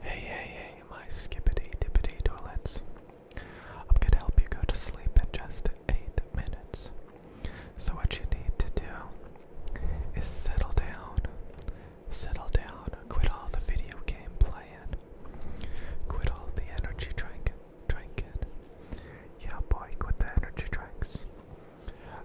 Hey, hey, hey, my skippity dippity toilets. I'm gonna help you go to sleep in just 8 minutes. So, what you need to do is settle down. Settle down. Quit all the video game playing. Quit all the energy drink, drinking. Yeah, boy, quit the energy drinks.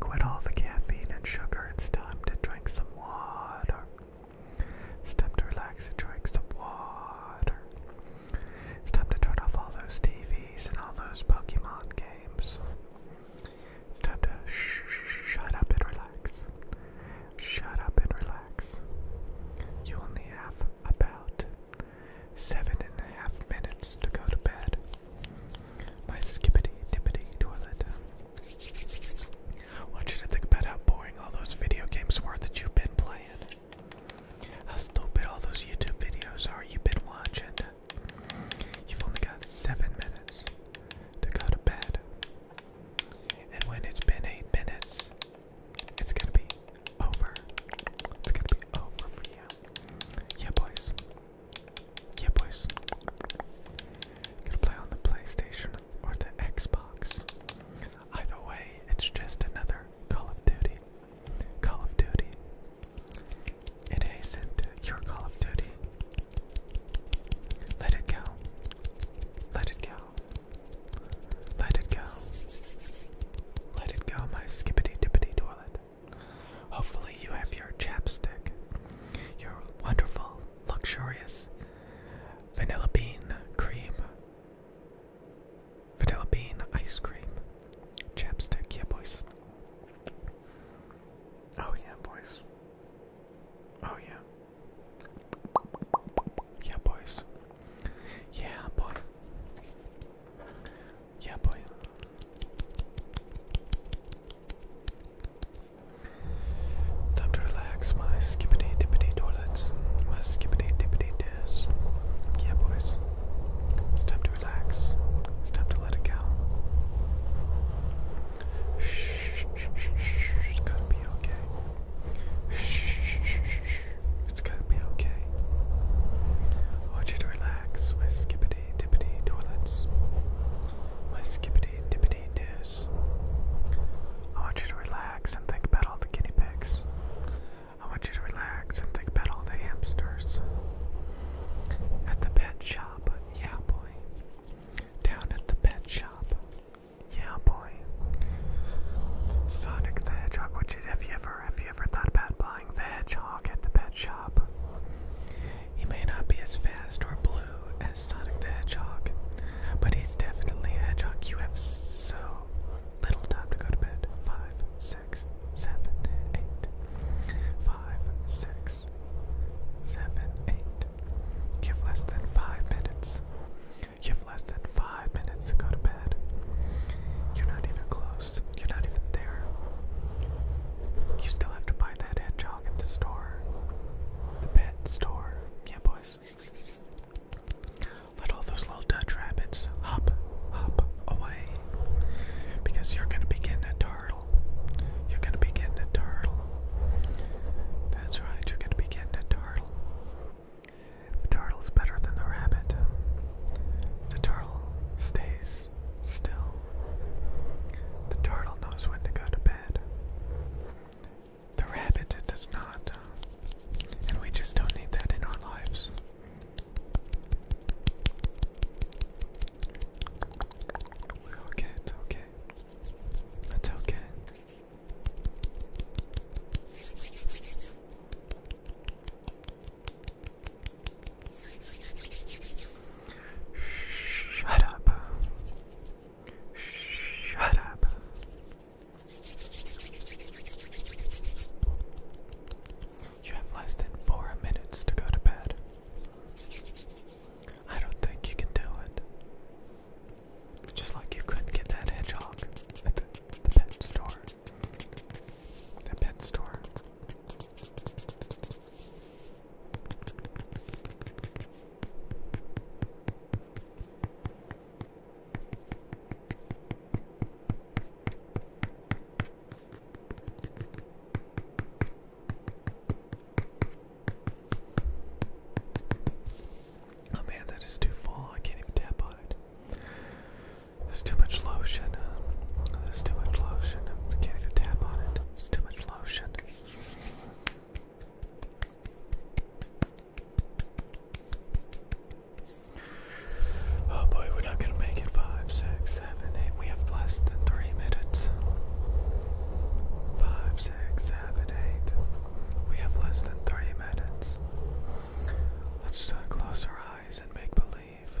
Quit all the caffeine and sugar. It's time to drink some water. It's time to relax and drink some water. It's time to turn off all those TVs and all those Pokemon games. It's time to shut up and relax. Shut up and relax. You only have about seven and a half minutes to go to bed. My skippity dippity toilet I want you to think about how boring all those video games were that you've been playing. How stupid all those YouTube videos are you've been watching. You've only got seven minutes to go to bed. And when it's been eight minutes, it's gonna be over. It's gonna be over for you. Yeah, boys. Yeah, boys. Gonna play on the PlayStation or the Xbox. Either way, it's just another Call of Duty. Call of Duty. It isn't your Call of Duty. Let it go. Let it go. Let it go. Let it go, my skippity dippity toilet. Hopefully, you have your chapstick, your wonderful luxurious vanilla bean cream, vanilla bean ice cream, chapstick. Yeah, boys. Oh, yeah, boys. Oh, yeah. Yeah, boys. Yeah, boy. Yeah, boy. Time to relax my skippity dippity toilets, my skippity dippity dis. Yeah, boys. It's time to relax. It's time to let it go. Shh, shh, shh, shh. It's gotta be okay. Shh, shh, shh, shh. It's gotta be okay. I want you to relax, my skippity dippity toilets. My skippity dippity doos. I want you to relax and think about all the guinea pigs. I want you to relax and think about all the hamsters. At the pet shop, yeah boy. Down at the pet shop, yeah boy. Sonic the Hedgehog, would you have you ever have you ever thought about buying the hedgehog at the pet shop? He may not be as fast or blue as Sonic the Hedgehog, but he's definitely a hedgehog. You have so little time to go to bed. Five, six, seven, eight. Five, six, seven, eight. You have less than five minutes. You have less than five minutes to go to bed. You're not even close. You're not even there. You still have to buy that hedgehog at the store. The pet store. Yeah, boys. Let all those little Dutch rabbits hop, hop away. Because you're going to be getting a turtle. You're going to be getting a turtle. That's right, you're going to be getting a turtle. The turtle's better than the rabbit. The turtle stays still. The turtle knows when to go to bed. The rabbit does not. And we just don't need that in our lives. it's okay. It's okay. Shut up. Shut up. You have less than four minutes to go to bed. I don't think you can do it. Just like you couldn't get that hedgehog at the, pet store. The pet store. Oh man, that is too full. I can't even tap on it. There's too much lotion. there's too much lotion. I can't even tap on it. There's too much lotion. Oh boy, we're not gonna make it. Five, six, seven, eight. We have less than three minutes. Five, six, seven, eight. We have less than three minutes. Let's uh, close our eyes and make believe.